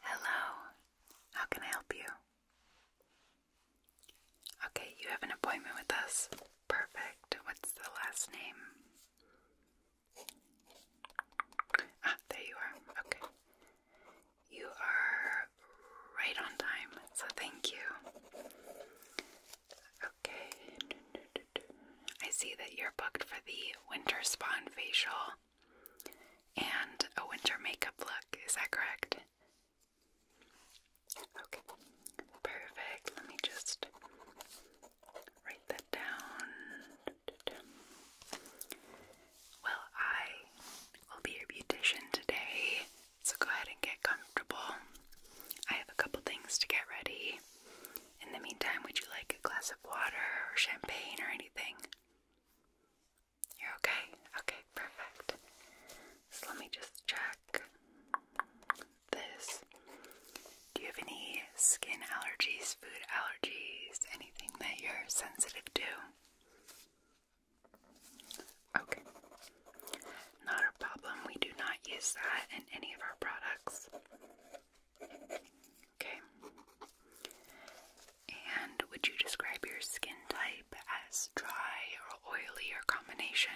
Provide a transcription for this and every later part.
Hello, how can I help you? Okay, you have an appointment with us. Perfect. What's the last name? Ah, there you are. Okay. You are right on time, so thank you. Okay. I see that you're booked for the winter spawn facial and a winter makeup look. Is that correct? Okay. Perfect. Let me just write that down. Well, I will be your beautician today, so go ahead and get comfortable. I have a couple things to get ready. In the meantime, would you like a glass of water or champagne or anything? You're okay? Okay, perfect. So let me just check this. Do you have any skin allergies, food allergies, anything that you're sensitive to? Okay. Not a problem. We do not use that in any of our products. Okay. And would you describe your skin type as dry or oily or combination?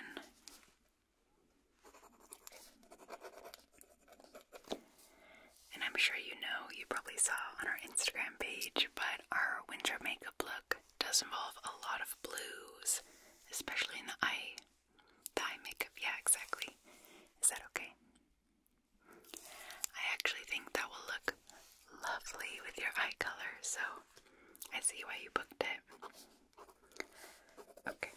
And I'm sure you know, you probably saw on our Instagram page, but our winter makeup look does involve a lot of blues, especially in the eye. Thigh makeup, yeah, exactly. Is that okay? I actually think that will look lovely with your eye color, so I see why you booked it. Okay.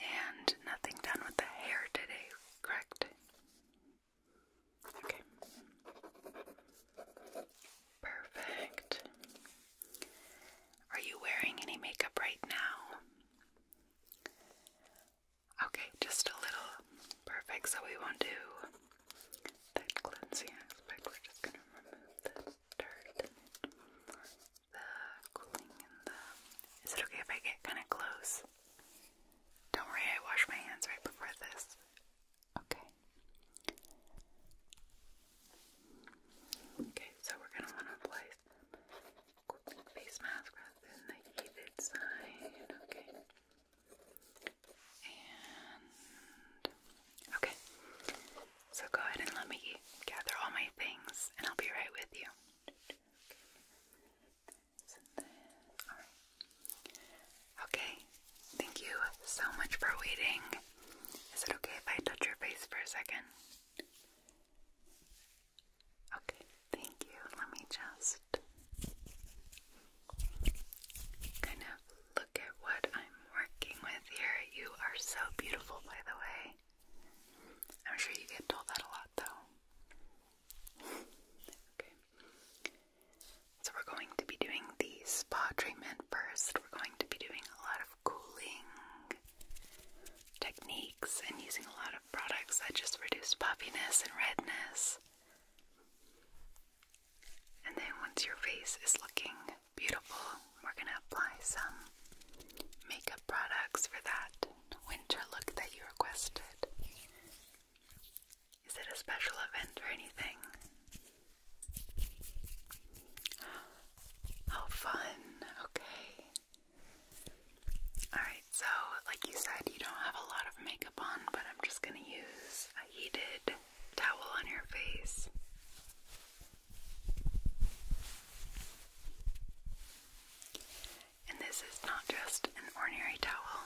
And nothing done with the hair today, correct? Okay. Perfect. Are you wearing any makeup right now? Okay, just a little. Perfect. So we won't do that cleansing aspect. We're just going to remove the dirt the cooling and the. Is it okay if I get kind of close? Don't worry, I wash my hands right before this. Okay. Okay, so we're going to want to apply face mask rather the heated side. Okay. And okay. So go ahead and let me gather all my things and I'll be right with you. Okay. Thank you so much for waiting. Is it okay if I touch your face for a second? Okay, thank you. Let me just kind of look at what I'm working with here. You are so beautiful, by the way. I'm sure you get told that a lot, though. okay. So, we're going to be doing the spa treatment first. We're going to be doing a lot of cooling techniques and using a lot of products that just reduce puffiness and redness. And then once your face is looking beautiful, we're going to apply some makeup products for that winter look that you requested. Is it a special event or anything? How oh, fun. Okay. Alright, so like you said, you don't have a lot of makeup on, but I'm just going to use a heated towel on your face. And this is not just an ordinary towel,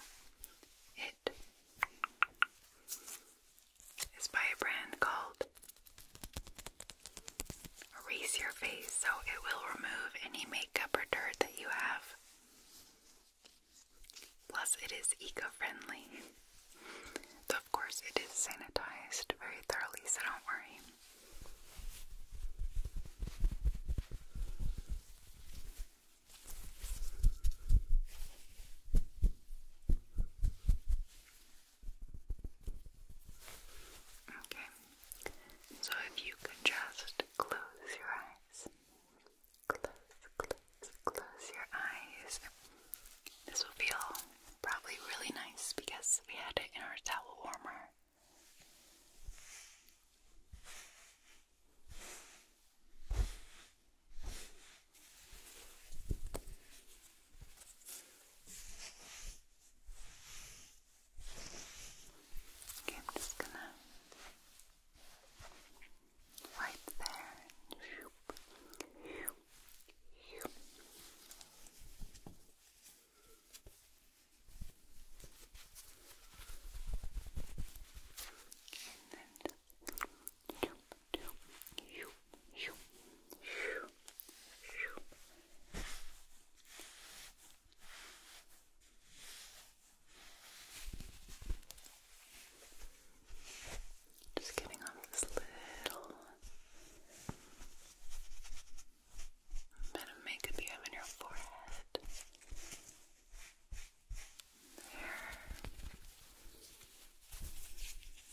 it is by a brand called Erase Your Face, so it will remove any makeup or dirt that you have. Plus, it is eco friendly. of course, it is sanitized very thoroughly, so don't worry. Okay, so if you could just close your eyes, close, close, close your eyes. This will feel probably really nice because we had it in our towel warmer. Okay, I'm just gonna right there and then just getting on this little bit of makeup you have in your forehead. There. There,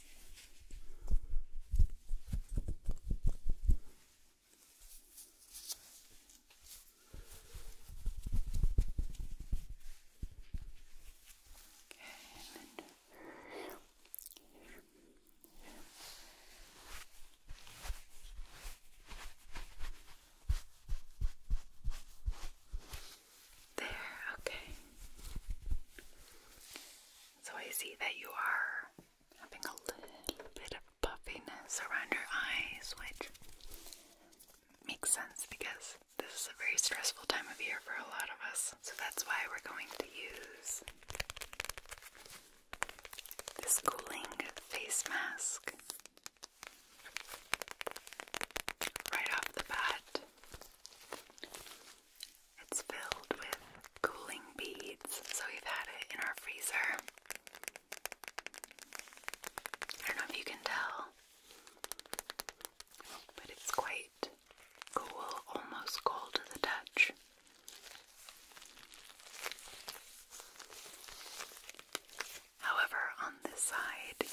okay. So I see that you are having a little bit of puffiness around your eyes, which makes sense because this is a very stressful time of year for a lot of us. So that's why we're going to use this cooling face mask right off the bat. It's filled with cooling beads, so we've had it in our freezer. I don't know if you can tell, but it's quite cool, almost cold to the touch. However, on this side,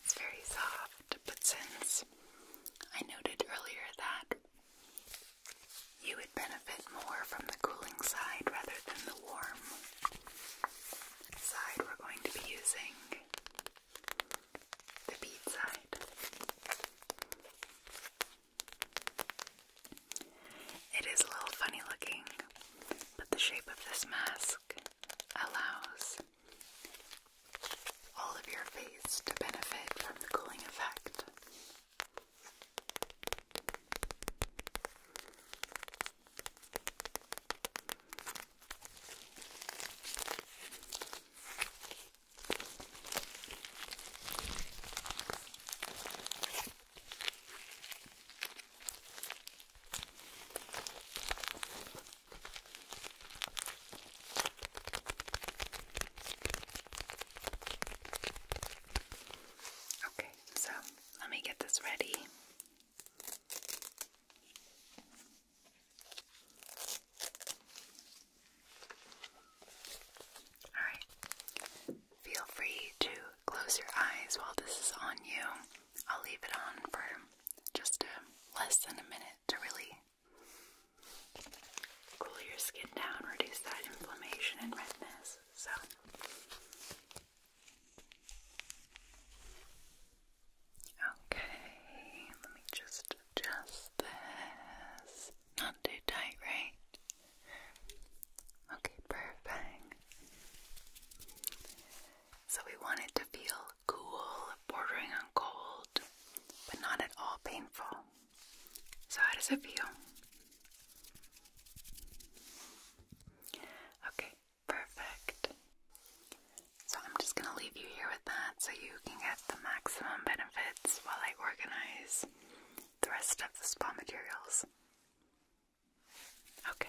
it's very soft, but since I noted earlier that you would benefit more from the cooling side rather than the warm side. We're going to be using the bead side. It is a little funny looking, but the shape of this mask allows all of your face to benefit from the cooling effect. Okay, so let me get this ready. Alright, feel free to close your eyes while this is on you. I'll leave it on for just less than a minute to really cool your skin down, reduce that inflammation and redness. So. Okay, let me just adjust this. Not too tight, right? Okay, perfect. So we want it to feel cool, bordering on cold, but not at all painful. So, how does it feel? Okay, perfect. So, I'm just going to leave you here with that so you can get the maximum benefits while I organize the rest of the spa materials. Okay.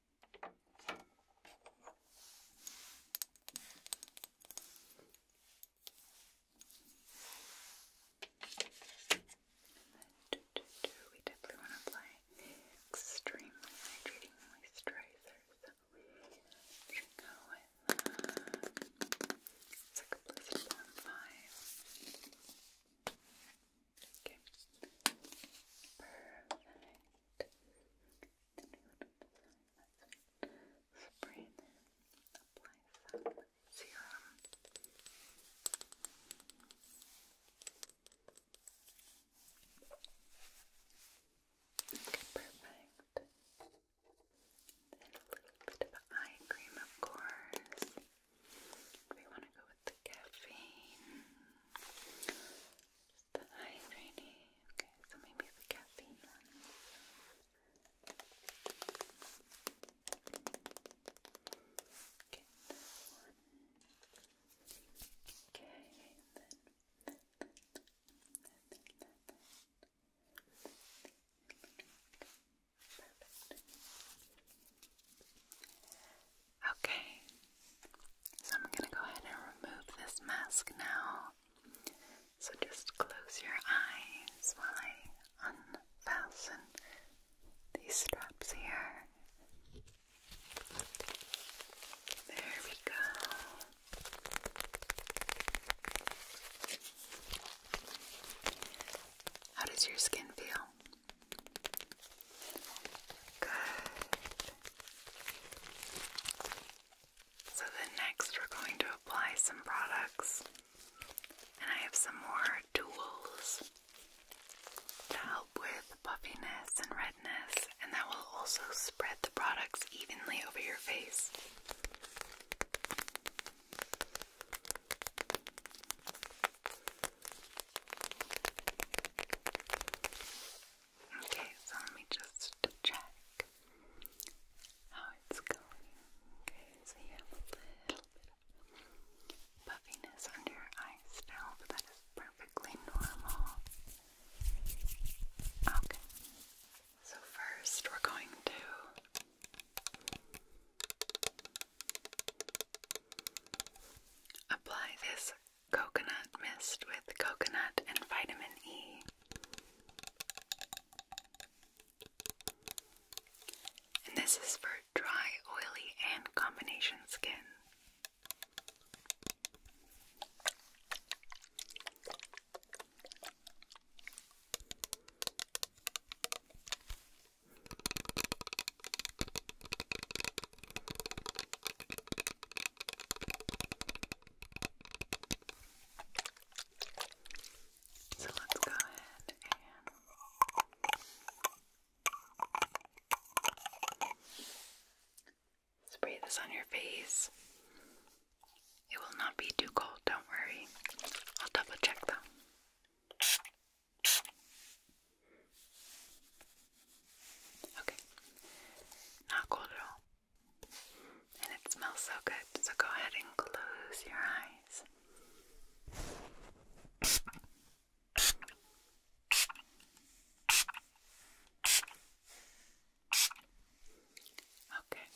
We definitely want to apply extremely hydrating moisturizer, we should go with uh, it's like five. Okay, perfect. Spray and apply some serum. Okay, perfect. Then a eye cream, of course. We want to go with the caffeine. Just the hydrating. Okay, so maybe the caffeine one. Okay, Okay, so I'm going to go ahead and remove this mask now. So just close your eyes while I unfasten these straps here. There we go. How does your skin feel? Good. So then next we're going to apply some products and I have some more tools to help with puffiness and redness and that will also spread the products evenly over your face. Okay, so let me just check how it's going. Okay, so you have a little bit of puffiness under your eyes still, but that is perfectly normal. Okay, so first we're going to apply this coconut mist with coconut and vitamin E. And this is for dry, oily, and combination skin. So let's go ahead and spray this on your face. It will not be too cold, don't worry. I'll double check though. Okay, not cold at all. And it smells so good, so go ahead and close your eyes. Okay.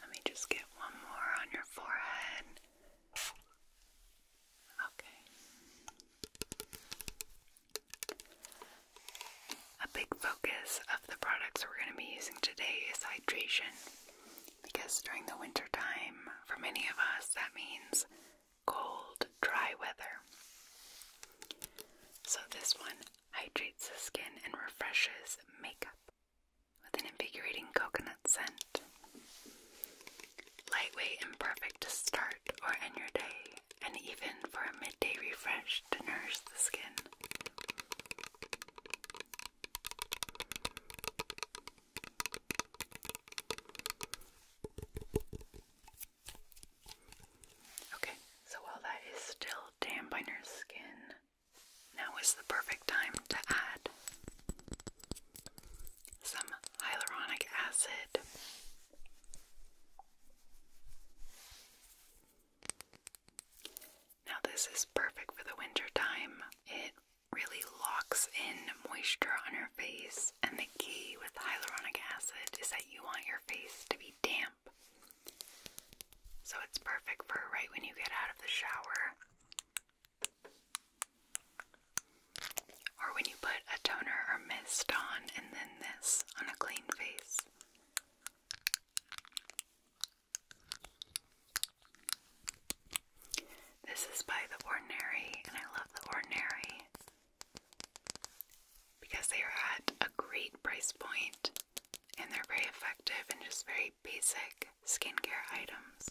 Let me just get one more on your forehead. Okay. A big focus of the products we're going to be using today is hydration because during the winter time, for many of us, that means cold, dry weather. So, this one hydrates the skin and refreshes makeup with an invigorating coconut scent. Lightweight and perfect to start or end your day, and even for a midday refresh to nourish the skin. Okay, so while that is still damp on skin, now is the perfect time to add some hyaluronic acid now, this is perfect for the winter time. It really locks in moisture on your face, and the key with hyaluronic acid is that you want your face to be damp. So, it's perfect for right when you get out of the shower. Or when you put a toner or mist on and then this on a clean face. This is by The Ordinary, and I love The Ordinary because they are at a great price point and they're very effective and just very basic skincare items.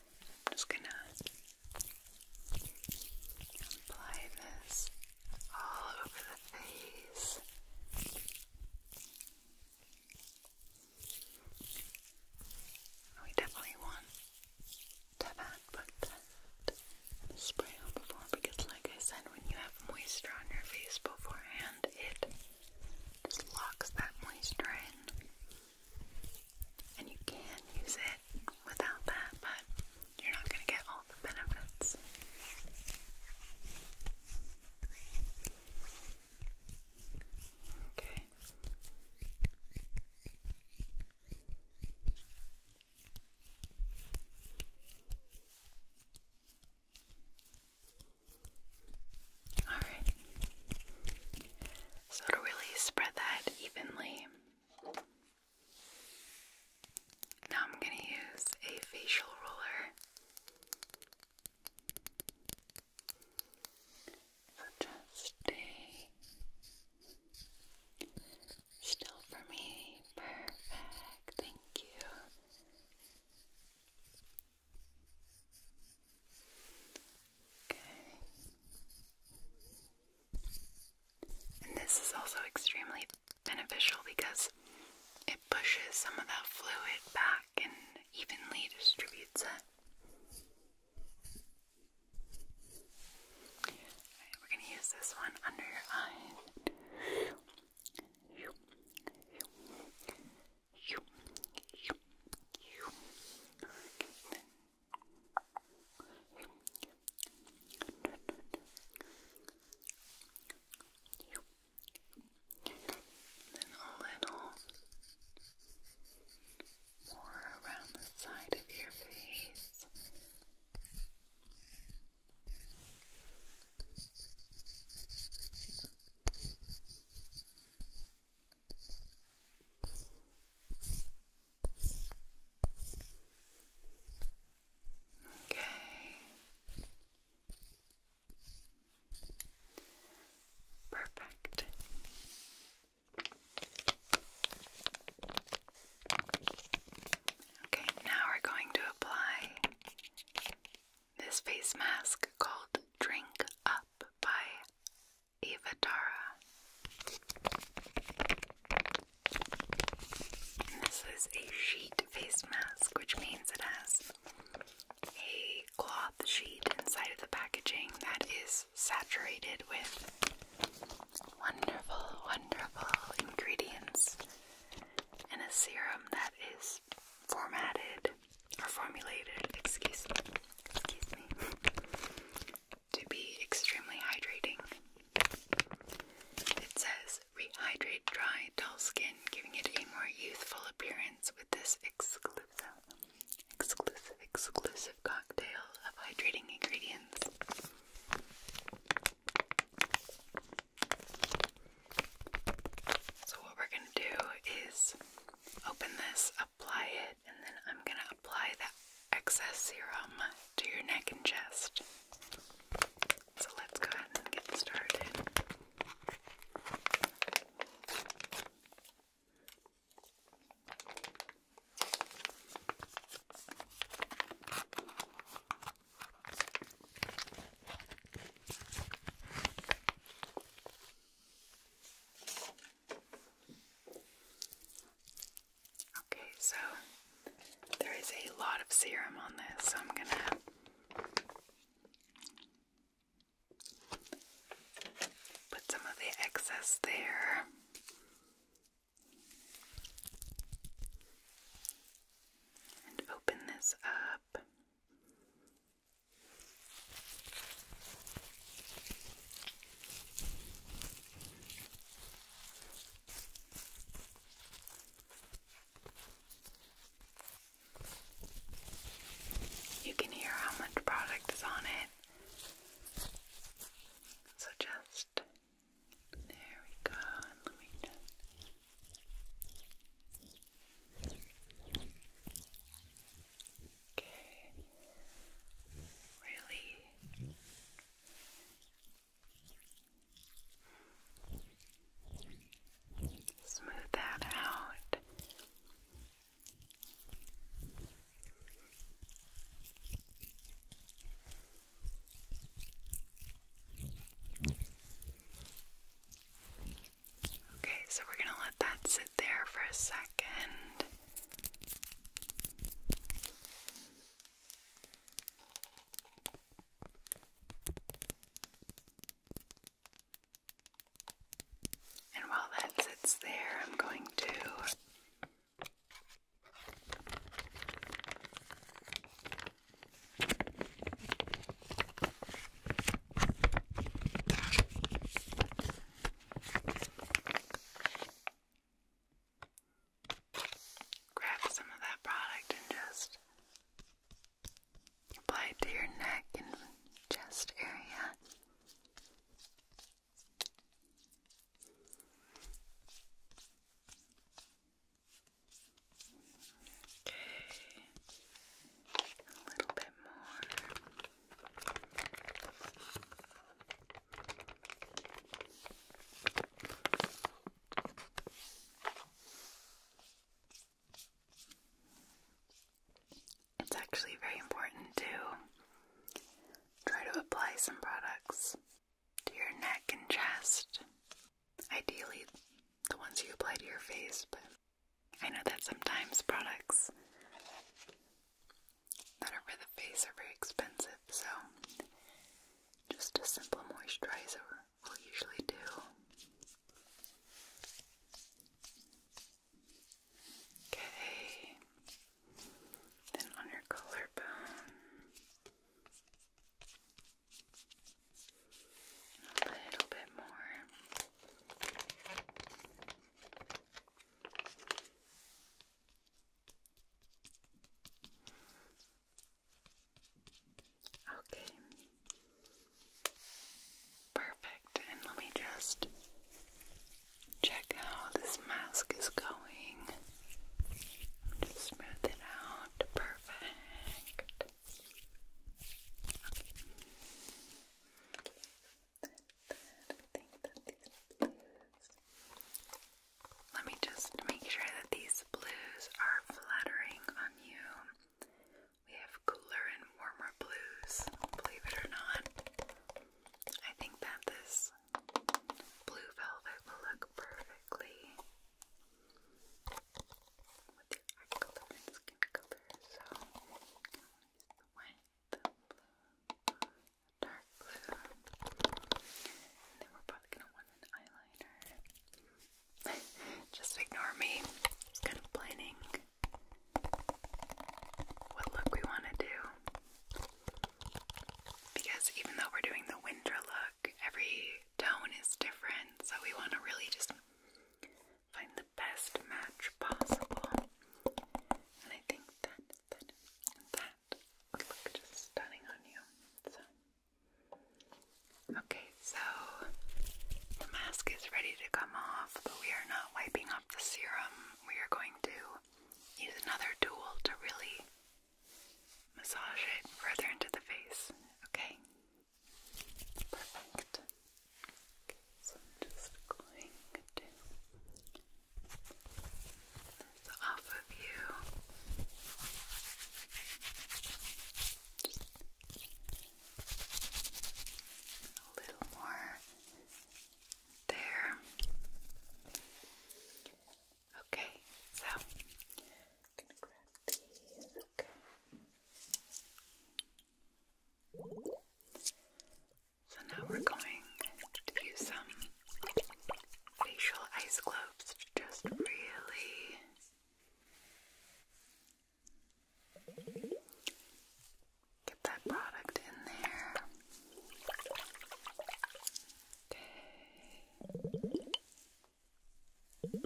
I'm just gonna apply this all over the face. We definitely want to have put spray on before because, like I said, when you have moisture on your face beforehand, it just locks that moisture in. And you can use it without that, but you're not going to get all the benefits. Okay. Alright. So to really spread that evenly, now I'm going to use a facial roller. just stay still for me. Perfect. Thank you. And this is also extremely beneficial because it pushes some of that fluid back and evenly distributes it. we're going to use this one under your eyes. Then a little more around the side of your face. Okay. Perfect. Okay, now we're going to apply this face mask called Drink Up by Evadara. this is a sheet face mask, which means it has a cloth sheet inside of the packaging that is saturated with wonderful, wonderful ingredients and a serum that is formatted or formulated, excuse me, excuse me, to be extremely hydrating. It says rehydrate dry, dull skin, giving it a more youthful appearance with this exclusive, exclusive, exclusive cocktail of hydrating ingredients. So, what we're going to do is open this, apply and then I'm going to apply the excess serum to your neck and chest. So let's go ahead and get started. Okay, so there is a lot of serum on this, so I'm gonna put some of the excess there. And open this up. You can hear how much product is on it. So just there we go, and let me just Okay. Really? Smooth that out. Okay, so we're going to let that sit there for a second. And while that sits there, I'm going to Grab some of that product and just apply it to your neck and chest area. Okay. A little bit more. It's actually very important to try to apply some products to your neck and chest. Ideally, the ones you apply to your face, but I know that sometimes products that are for the face are very expensive, so just a simple moisturizer will usually do. Okay, then on your collarbone, a little bit more. Okay. Perfect. And let me just check how this mask is going. Just smooth it out. Perfect. I think that Let me just make sure that these blues are flattering on you. We have cooler and warmer blues, believe it or not. I think that this blue velvet will look perfectly with your eye skin color. So, I'm going to use the white, the blue, dark blue. then we're probably gonna want an eyeliner. Just ignore me. Just what look we want to do. Because even though we're doing the winter look, every tone is different, so we want to really just find the best match possible. And I think that that look just stunning on you. Okay, so the mask is ready to come off, but we are not wiping off the serum. We are going to use another tool to really massage it further into the face. Okay? Perfect. so just going to so off of you. Just a little more there. Okay, so gonna grab these. So now we're going to use some facial ice globes to just really get that product in there. Okay. And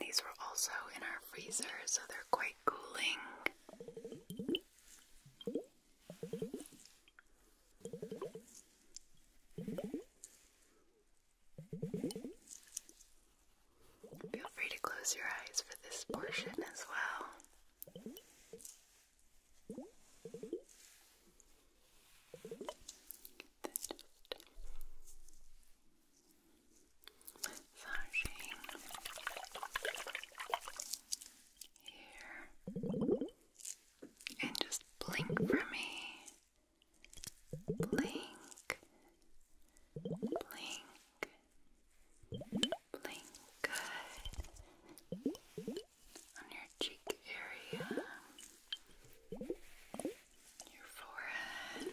these were also in our freezer, so they're quite cooling. Feel free to close your eyes for this portion as well. Massaging here, and just blink for me. Blink, blink, blink. Good. On your cheek area, your forehead.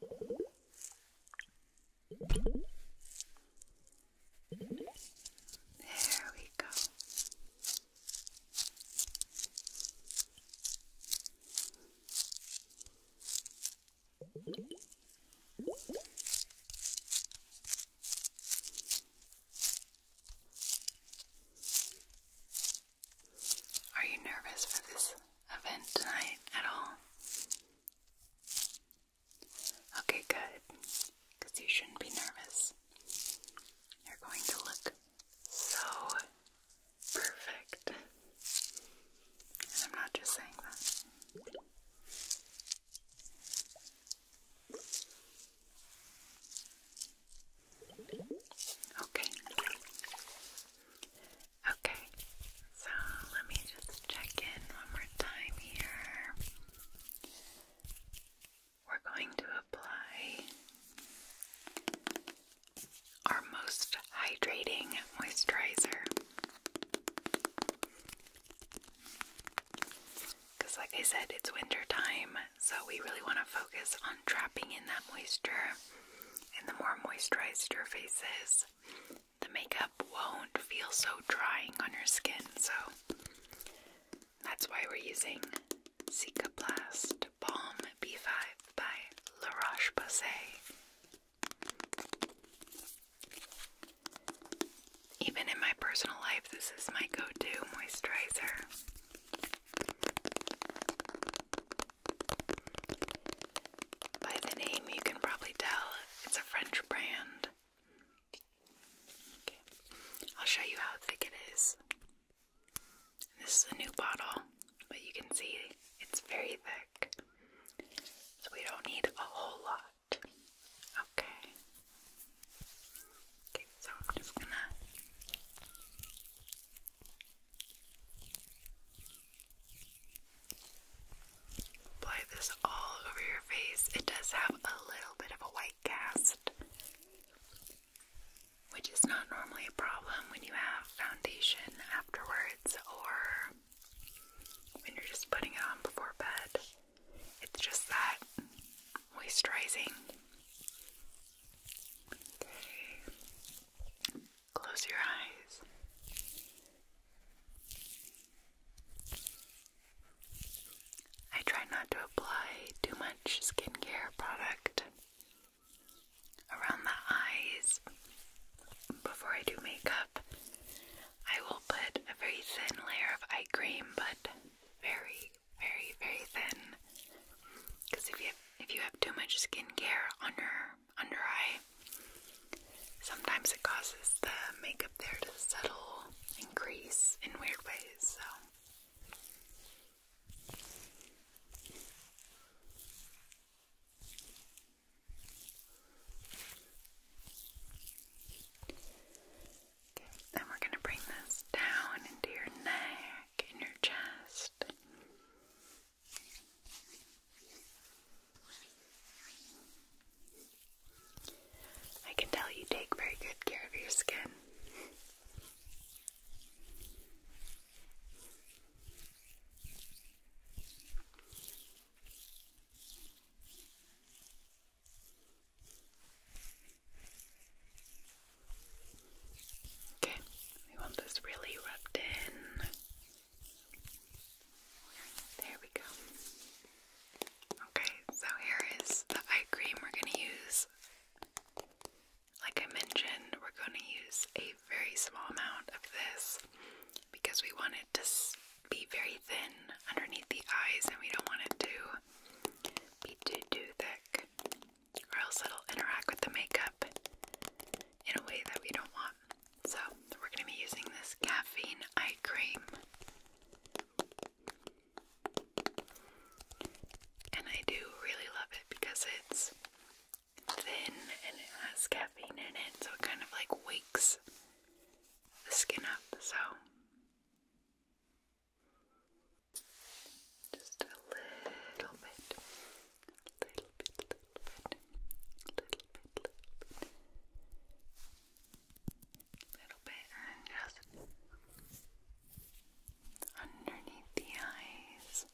There we go. Are you nervous for this event tonight at all? Okay, good. Because you shouldn't be nervous. You're going to look so perfect. And I'm not just saying that. Okay. Okay, so let me just check in one more time here. We're going to apply our most hydrating moisturizer. Because, like I said, it's winter time, so we really want to focus on trapping in that moisture. And the more moisturized your face is, the makeup won't feel so drying on your skin. So that's why we're using Cica Blast Balm B5 by La Roche Posay. Even in my personal life, this is my go to moisturizer. By the name, you can probably tell it's a French brand. I'll show you how thick it is. This is a new bottle, but you can see it's very thick. So we don't need a whole lot. Okay. Okay, so I'm just gonna Apply this all over your face. It does have a little bit of a white cast, which is not normally a problem when you have foundation afterwards or when you're just putting it on before bed. It's just that moisturizing. Close your eyes. I try not to apply too much skincare product around the eyes. Before I do makeup, I will put a very thin layer of eye cream, but very, very, very thin. Because if you if you have too much skincare on your under eye. Sometimes it causes the makeup there to settle and in weird ways, so. then we're going to bring this down into your neck, in your chest. I can tell you take very good care of your skin. Okay, we want this really rubbed in. There we go. Okay, so here is the eye cream we're going to use. Like I mentioned, we're going to use a very small amount of this because we want it to be very thin underneath the eyes and we don't want it to be too, too thick or else it'll interact with the makeup in a way that we don't want. So, we're going to be using this caffeine eye cream. And I do really love it because it's thin and it has caffeine in it, so it kind of like wakes the skin up. So, just a little bit little bit, little bit, little bit, little bit, little bit, and just underneath the eyes.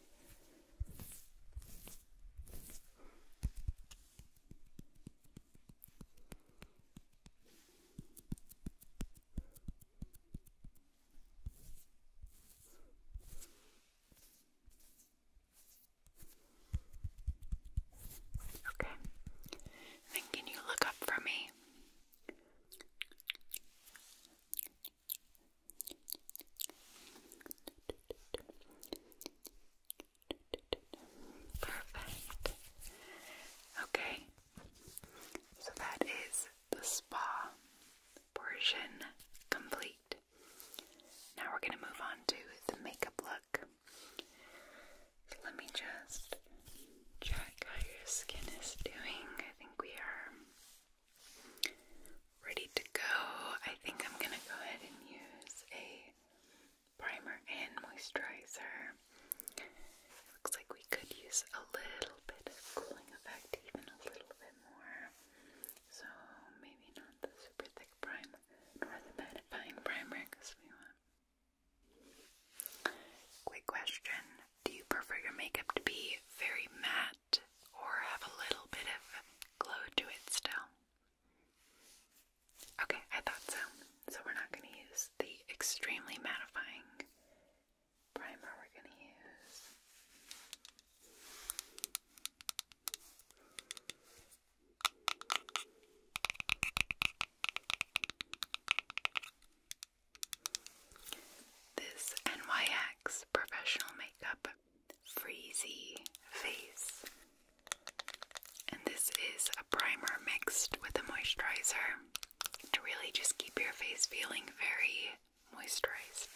Okay. Then can you look up for me? Perfect. Okay. So that is the spa portion complete. Now we're going to move on to the makeup look. So let me just check how your skin is doing. I think we are ready to go. I think I'm going to go ahead and use a primer and moisturizer. Looks like we could use a little bit of cooling effect, even a little bit more. So maybe not the super thick primer. Or primer, because we want. Quick question. Do you prefer your makeup to be very matte or have a little bit of glow to it still? Okay, I thought so. So we're not going to use the extremely mattifying primer. We're going to use this NYX Professional Makeup Freezy Face. And this is a primer mixed with a moisturizer to really just keep your face feeling very moisturized.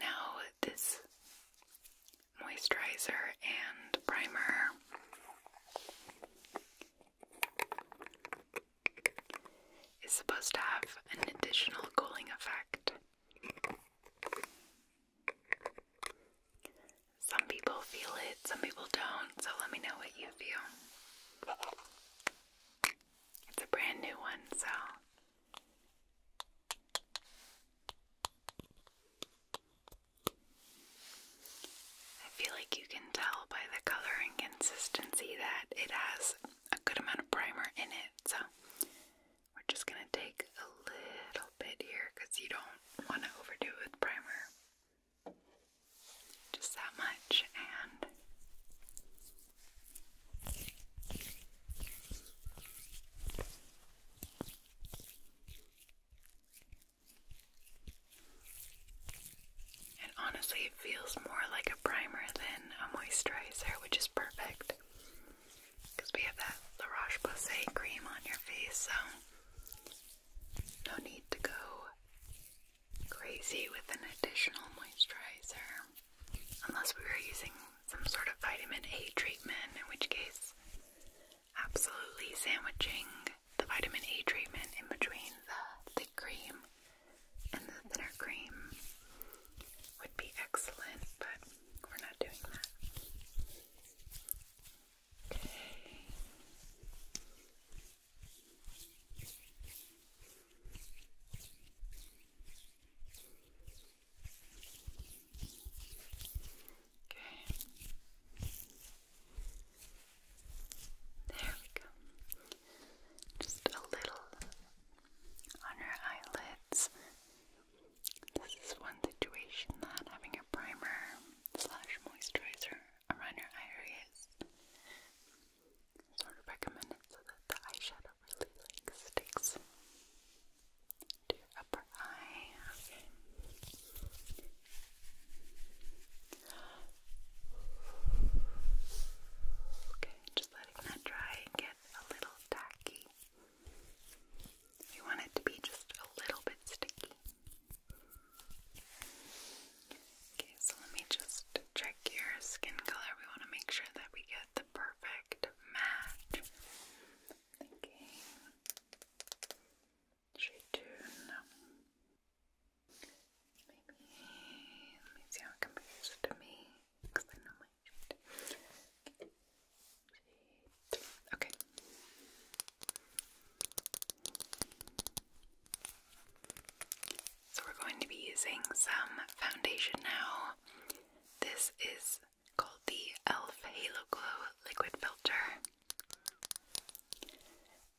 Now, this moisturizer and primer is supposed to have an additional cooling effect. Some people feel it, some people don't, so let me know what you feel. It's a brand new one, so. I feel like you can tell by the color and consistency that it has a good amount of primer in it, so we're just going to take a little bit here because you don't want to overdo it with primer. Just that much and honestly, it feels more like a primer than a moisturizer, which is perfect because we have that La Roche Posay cream on your face, so no need to go crazy with an additional moisturizer unless we were using some sort of vitamin A treatment, in which case, absolutely sandwiching the vitamin A treatment in between the thick cream and the thinner cream would be excellent, but we're not doing that. Okay. Okay. There we go. Just a little on her eyelids this is one situation that having a primer slash moisturizer around your eye area is sort of recommended so that the eyeshadow really like sticks to your upper eye. Okay, just letting that dry and get a little tacky. You want it to be just a little bit sticky. Okay, so let me just check your skin color. We want to make sure that we get the perfect match. Okay. Shade two, no. Maybe, let me see how it compares to me. Because I know my Okay. So we're going to be using some foundation now. This is called the e.l.f. Halo Glow Liquid Filter.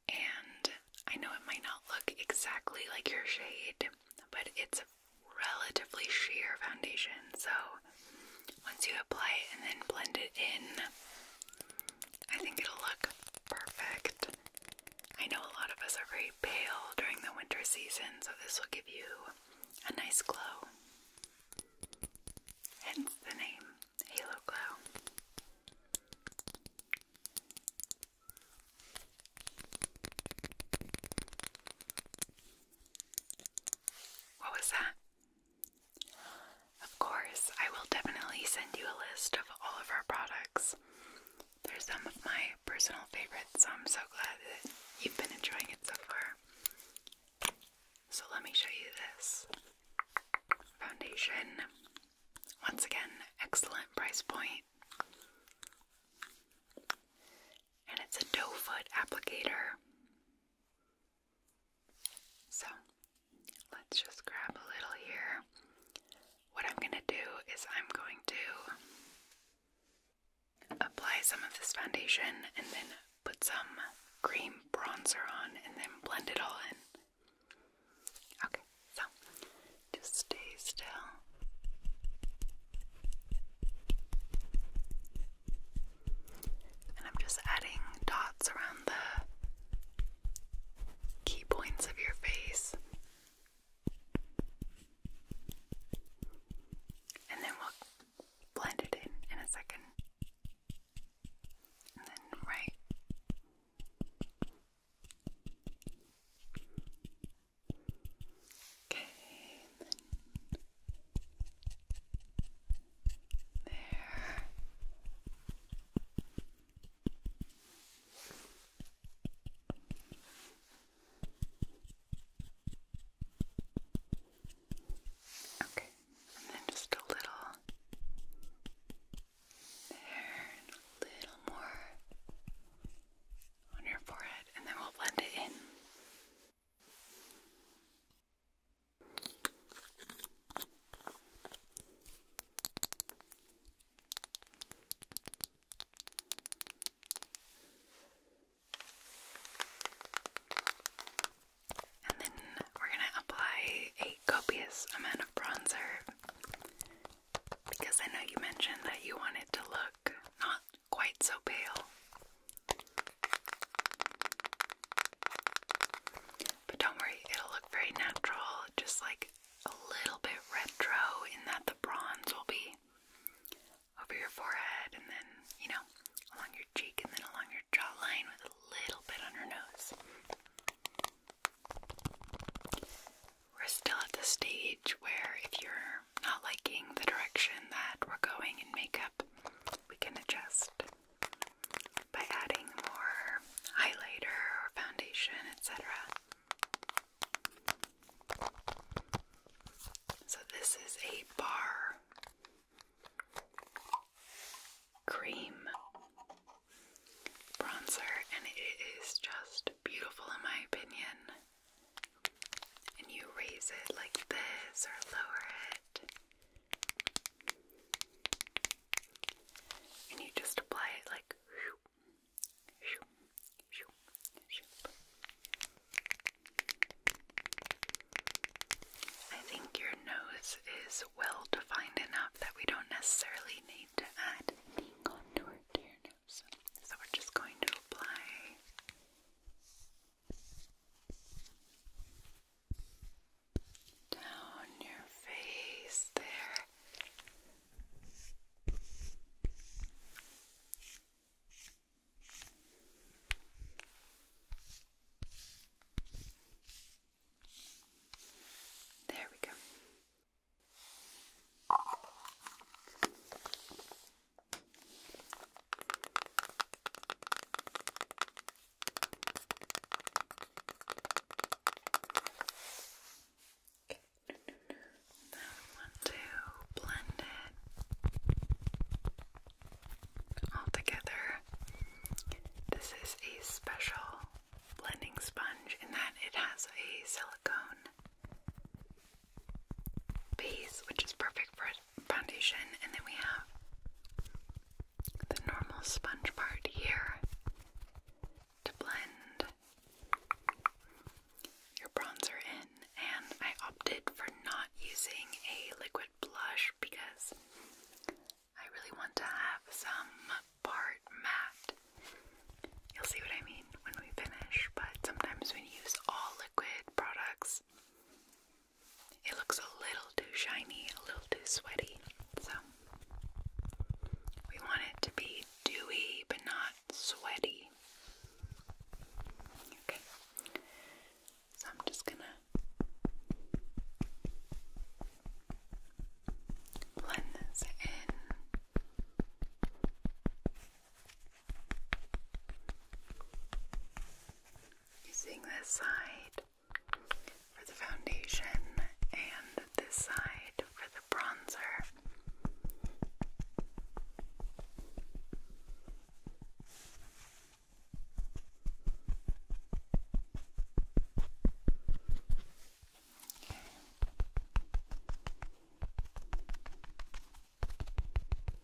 And I know it might not look exactly like your shade, but it's relatively sheer foundation. So once you apply it and then blend it in, I think it'll look perfect. I know a lot of us are very pale during the winter season, so this will give you a nice glow. Hence the name Halo Glow. What was that? Of course, I will definitely send you a list of all of our products. they some of my personal favorites, so I'm so glad that you've been enjoying it so far. So, let me show you this foundation. Once again, excellent price point and it's a doe foot applicator. So let's just grab a little here. What I'm going to do is I'm going to apply some of this foundation and then put some cream bronzer on and then blend it all in. Okay, so just stay still. And I'm just adding dots around the key points of your face. And then we'll blend it in in a second. then right Okay, there. Okay, and then just a little there, and a little more on your forehead, and then we'll blend it in. And then we're going to apply a copious amount of bronzer because I know you mentioned that you wanted to look not quite so pale. But don't worry, it'll look very natural, just like a little bit retro in that the bronze will be over your forehead and then, you know, along your cheek and then along your jawline with a little bit on your nose. We're still at the stage where if you're not liking the direction that we're going in makeup, we can adjust by adding more highlighter or foundation, etc. So, this is a bar cream bronzer, and it is just beautiful in my opinion and you raise it like this or lower it, and you just apply it like. I think your nose is well defined enough that we don't necessarily need to add contour to your nose. So we're just going to apply down your face there. There we go. Now we want to blend it all together. This is a special blending sponge in that it has a silicone base, which is perfect for foundation, and then we have the normal sponge part here to blend your bronzer in. And I opted for not using a liquid blush because I really want to have some part matte. You'll see what I mean when we finish, but sometimes when you use all liquid products, it looks a little too shiny, a little too sweaty, so we want it to be dewy but not sweaty. Okay, so I'm just gonna blend this in. Using this side for the foundation and this side for the bronzer.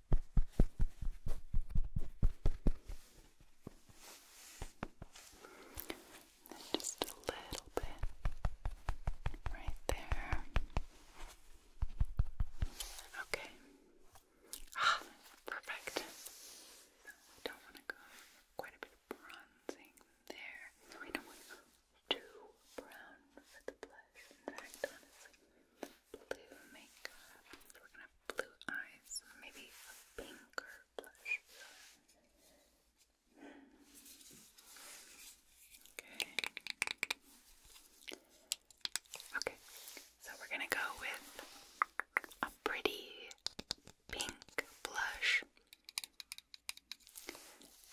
Then just a little bit right there. Okay. Ah, perfect. So don't want to go quite a bit bronzing there. we don't want to go too brown for the blush. In fact, honestly, blue makeup. we're gonna blue eyes, maybe a pink or blush. Okay. Okay, so we're gonna go with a pretty pink blush.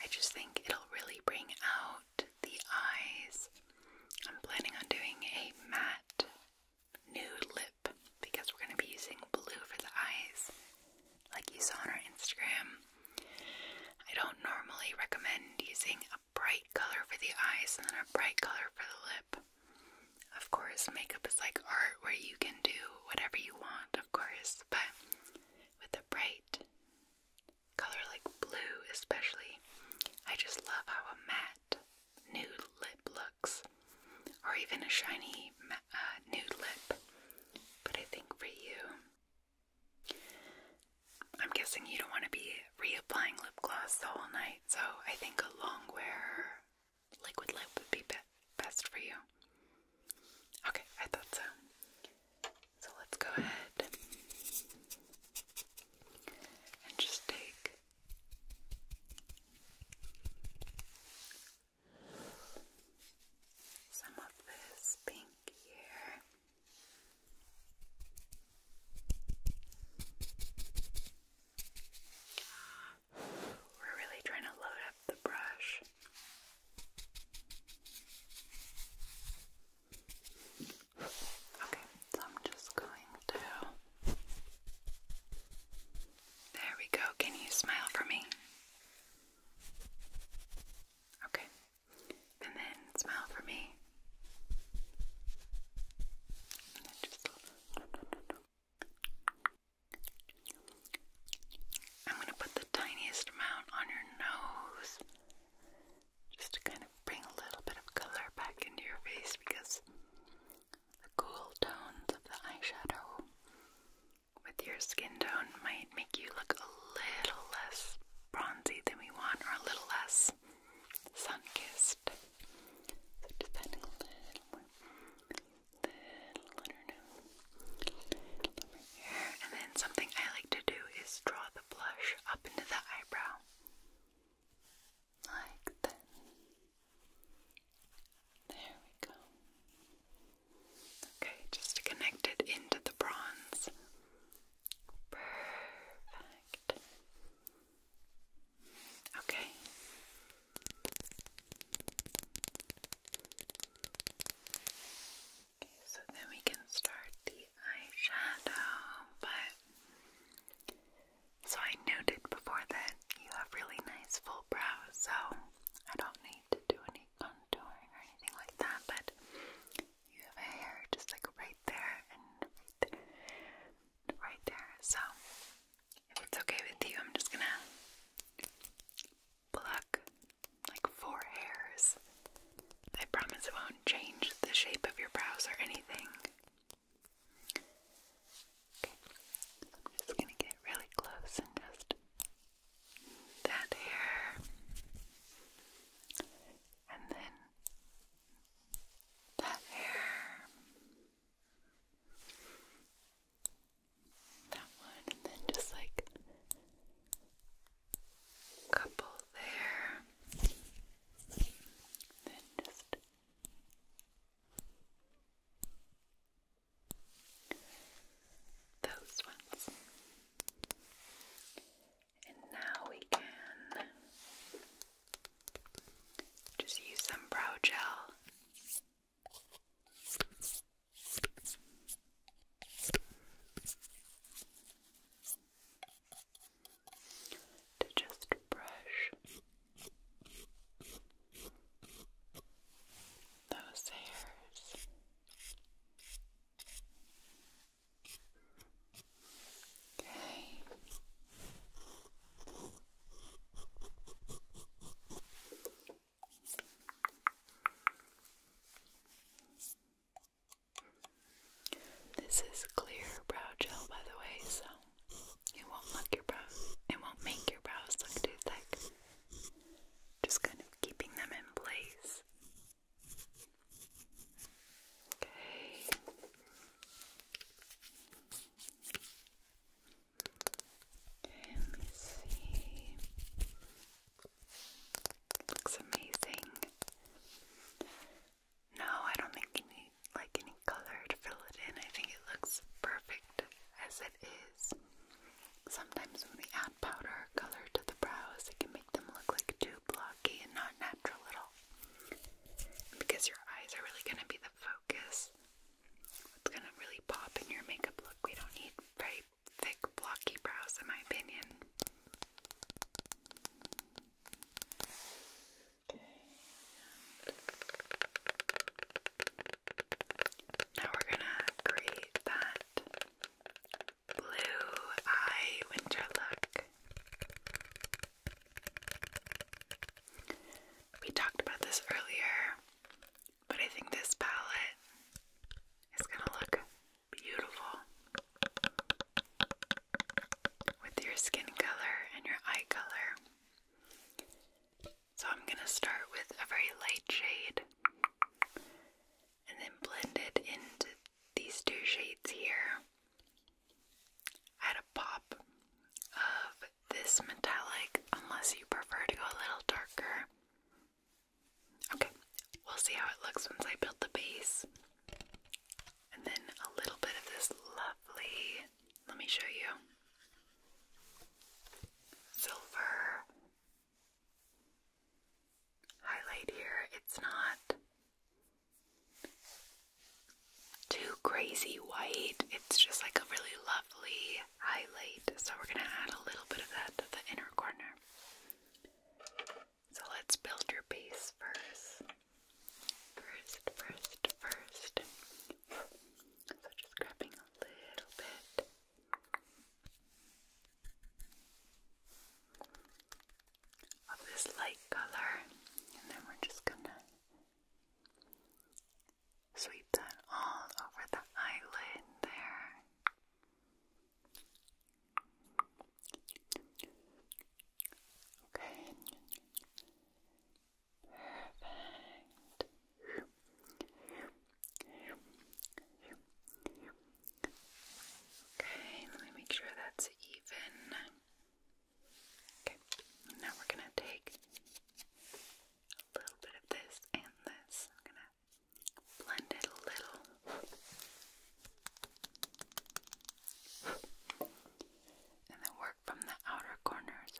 I just think it'll really bring out the eyes. I'm planning on doing a matte nude lip because we're going to be using blue for the eyes, like you saw on our Instagram. I don't normally recommend using a bright color for the eyes and then a bright color for the lip. Of course, makeup is like art where you can do whatever you want, of course, but with a bright color like blue, especially. I just love how a matte nude lip looks, or even a shiny uh, nude lip. But I think for you, I'm guessing you don't want to be reapplying lip gloss the whole night, so I think a long wear liquid lip would be be best for you. Okay, I thought so. So let's go ahead and just take some of this pink here. We're really trying to load up the brush. Okay, so I'm just going to. There we go. Can you smile for me? Okay, and then smile for me. I'm going to put the tiniest amount on your nose just to kind of bring a little bit of color back into your face because the cool tones of the eyeshadow with your skin tone might make you look a little less bronzy than we want or a little less sun-kissed. So just adding a little more, little, I do know, here. And then something I like to do is draw the blush up into the eyebrow. Like that. There we go. Okay, just connect it into the bronze. Perfect. Okay. Okay, so then we can start the eyeshadow, but so I noted before that you have really nice full brows, so I don't need to do any contouring or anything like that, but you have a hair just like right there and right there, and right there. So if it's okay with you, I'm just gonna pluck like four hairs I promise it won't change the shape of your brows or anything. Okay, i gonna get really close and just that hair, and then that hair, that one, and then just like couple there. Then just those ones. And now we can just use some brow gel to just brush those hairs okay this is clear brow gel, by the way, so it won't look your brows. It won't make your brows look too thick. Just kind of keeping them in place. Okay, let me see. Looks amazing. No, I don't think you need like any color to fill it in. I think it looks perfect as it is. Sometimes when we add powder color to the brows, it can make them look like too blocky and not natural at all. Because your eyes are really going to be the focus. It's going to really pop in your makeup look. We don't need very thick, blocky brows, in my opinion. Now we're gonna create that blue eye winter look. We talked about this earlier, but I think this palette is gonna look beautiful with your skin color and your eye color. So I'm going to start with a very light shade and then blend it into these two shades here. Add a pop of this metallic, unless you prefer to go a little darker. Okay, we'll see how it looks once I build the base. And then a little bit of this lovely, let me show you, silver highlight here. It's not too crazy white, it's just like a really lovely highlight. So we're going to add a little bit of that to the inner corner. So let's build your base first. First, first, first. So just grabbing a little bit. Of this light color, and then we're just gonna sweep that all over the eyelid there. Okay. Perfect. Okay, let me make sure that's even. Okay, now we're going to take a little bit of this and this. I'm going to blend it a little and then work from the outer corners.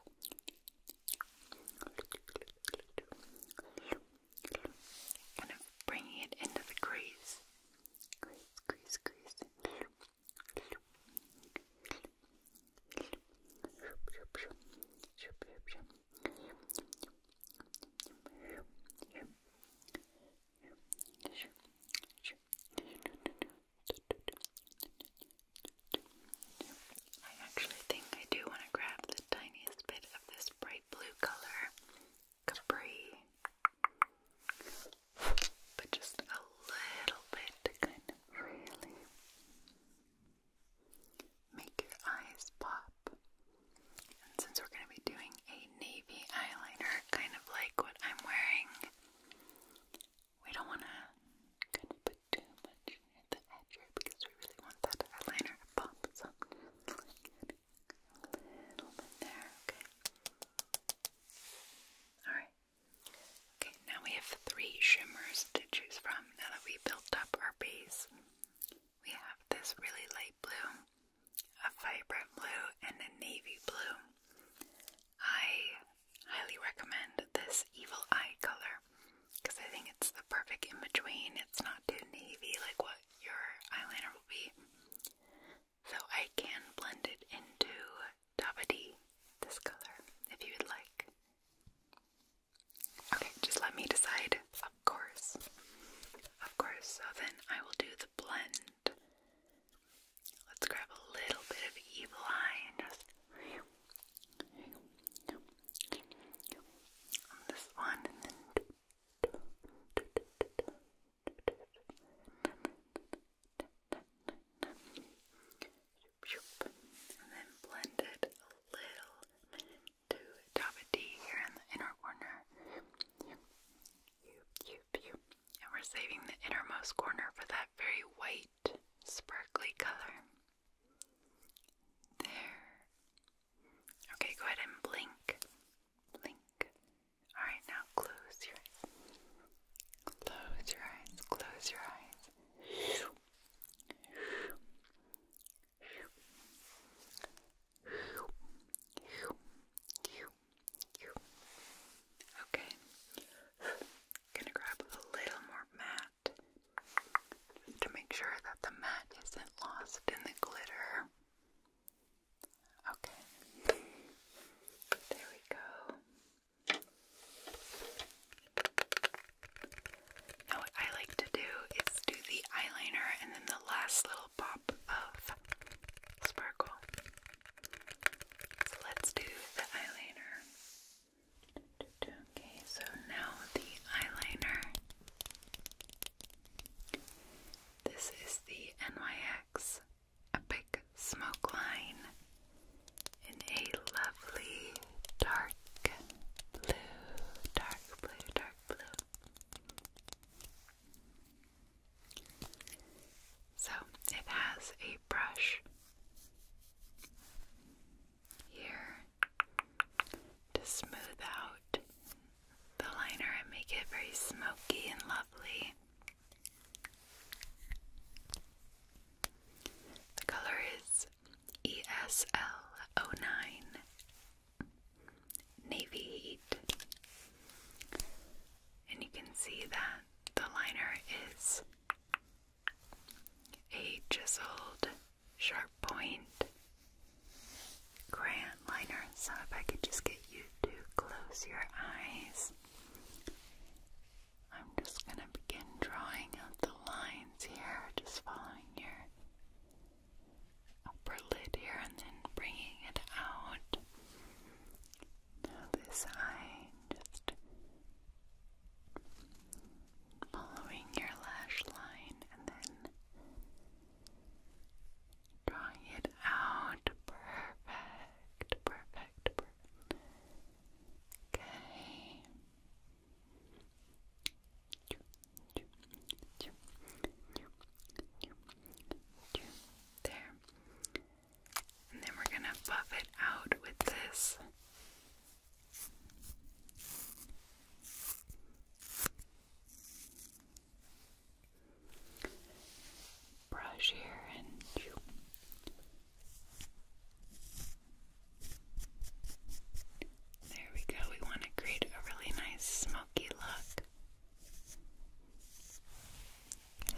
Kind of bringing it into the crease. I actually think I do want to grab the tiniest bit of this bright blue color, but just a little bit to kind of really make your eyes pop. And since we're going to be doing a navy eyeliner, kind of like what I'm wearing, we don't want to kind of put too much at the edge here because we really want that eyeliner pop. So there, okay? Alright. Okay, now we have three shimmers to choose from now that we built up our base. We have this really light blue a vibrant blue, and a navy blue. I highly recommend this evil eye color because I think it's the perfect in between. It's not too navy like what your eyeliner will be. So I can blend it into Dabadi, this color, if you would like. Okay, just let me decide. Of course. Of course. So then I will do the blend. Let's grab a little bit of evil eye and just on this one and then and then blend it a little to top a D here in the inner corner. You, you, and we're saving the innermost corner for that very white, sparkly color. There. Okay, go ahead and blink. Blink. Alright, now close your Close your eyes. Close your eyes. Okay. Gonna grab a little more matte to make sure that the matte isn't lost in the glitter. Okay. There we go. Now what I like to do is do the eyeliner and then the last little pop of sparkle. So let's do the eyeliner. Okay, so now the eyeliner. This is the NYX Epic Smoke Line in a lovely dark blue, dark blue, dark blue. So it has a brush here to smooth out the liner and make it very smoky and lovely. The color is ESL09 Navy Heat. And you can see that the liner is a chiseled, sharp point crayon liner. So, if I could just get you to close your eyes, I'm just going to begin drawing out the lines here, just following your upper lid here and then bringing it out. Now this eye, just following your lash line and then drawing it out. Perfect, perfect, Okay. There. And then we're going to buff it out with this. Brush here and there we go. We want to create a really nice smoky look. Okay.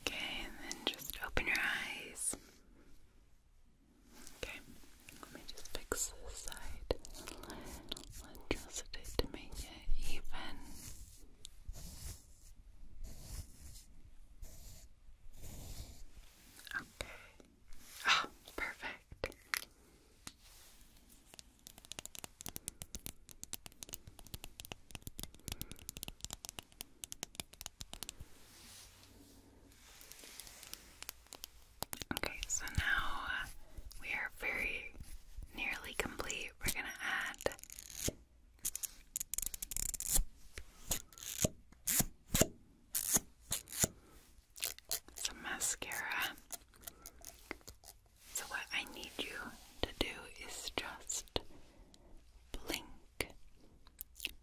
Okay, and then just open your eyes. Okay, let me just fix this side a little adjusted to make it even. Okay. Ah, perfect. Okay, so now we are very nearly complete. We're going to add some mascara so, what I need you to do is just blink.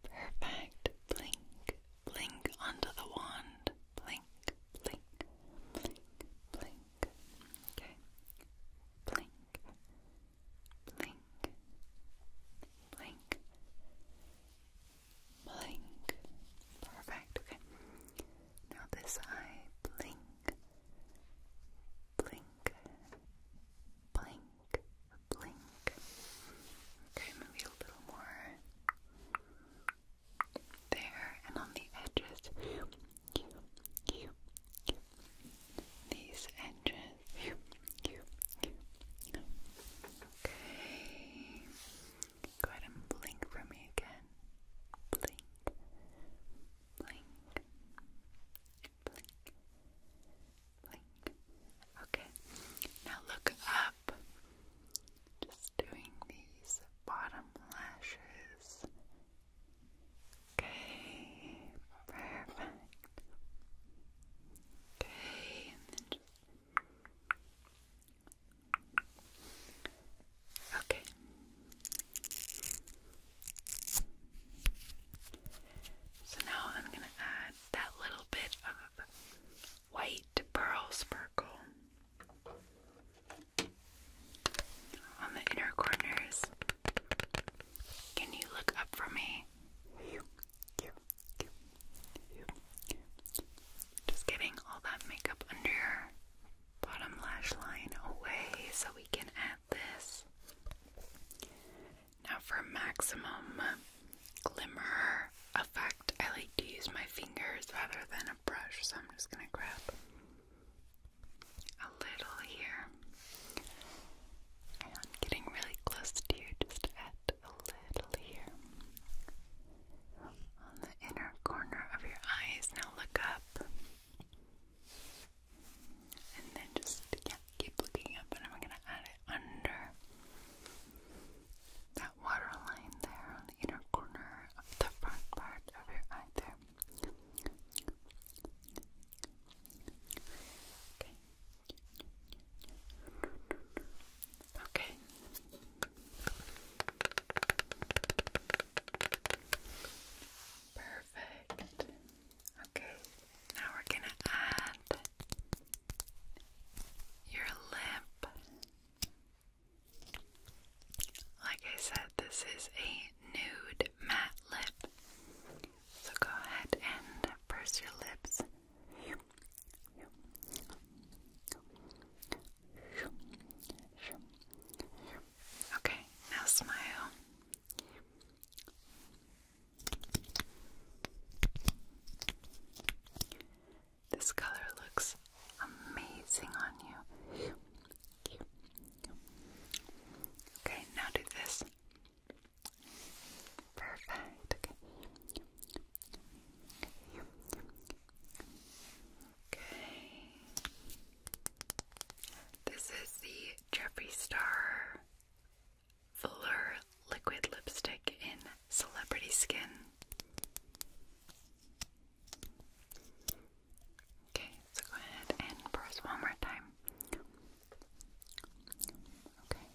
Perfect. Blink, blink onto the wand. Blink, blink, blink, blink. Okay. Blink, blink, blink, blink. Perfect. Okay. Now this eye. Blink blink, blink, blink. Okay, maybe a little more there, and on the edges, you, these edges. Okay, go ahead and blink for me again. Blink, blink, blink, blink. Okay, now look up. Just doing these bottom lashes. Okay, perfect. Okay, and then just Okay. So now I'm going to add that little bit of white pearl sparkle on the inner corners. Can you look up for me? Just getting all that makeup under your bottom lash line away so we can add this. Now for maximum glimmer effect, I like to use my fingers rather than a brush, so I'm just going to grab a little here. And I'm getting really close to you, just add a little here. On the inner corner of your eyes, now look up. And then just yeah, keep looking up, and I'm going to add it under that water there on the inner corner of the front part of your eye there. Okay. Okay. Perfect. Okay, now we're going to add your lip. Like I said, this is a nude matte lip. So go ahead and purse your lips. Okay, now smile. This color looks amazing on you. Okay, now do this. Perfect. Okay. Okay. This is the Jeffree Star Fuller Liquid Lipstick in Celebrity Skin. Okay, so go ahead and press one more time. Okay.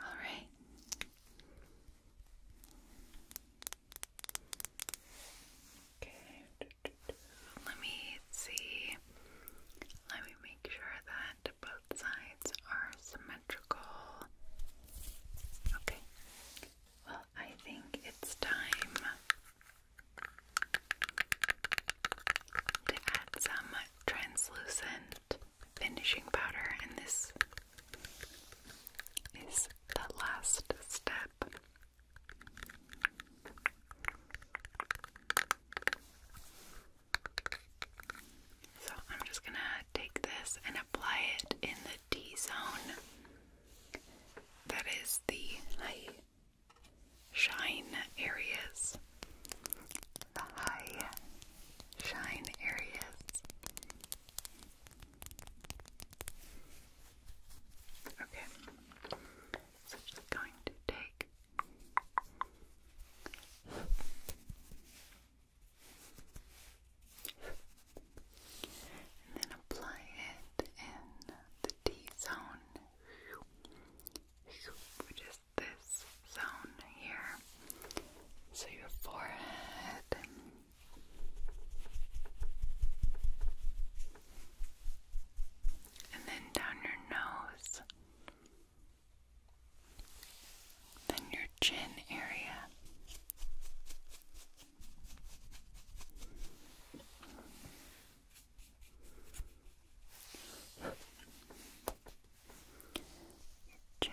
All right. Okay. Let me see. Let me make sure that both sides are symmetrical. Okay. Well, I think it's time to add some translucent finishing powder, in this is the last step. So I'm just going to take this and apply it in the D zone. That is the high shine areas. The high shine areas. Okay, so I'm going to take and then apply it in the T zone, which is this zone here. So your forehead and then down your nose, then your chin area. chin,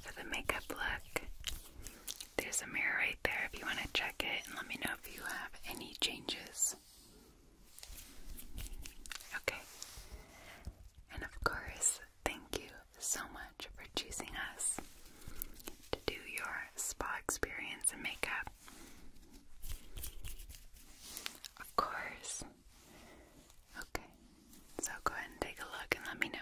for the makeup look. There's a mirror right there if you want to check it and let me know if you have any changes. Okay. And of course, thank you so much for choosing us to do your spa experience and makeup. Of course, Okay, so go ahead and take a look and let me know.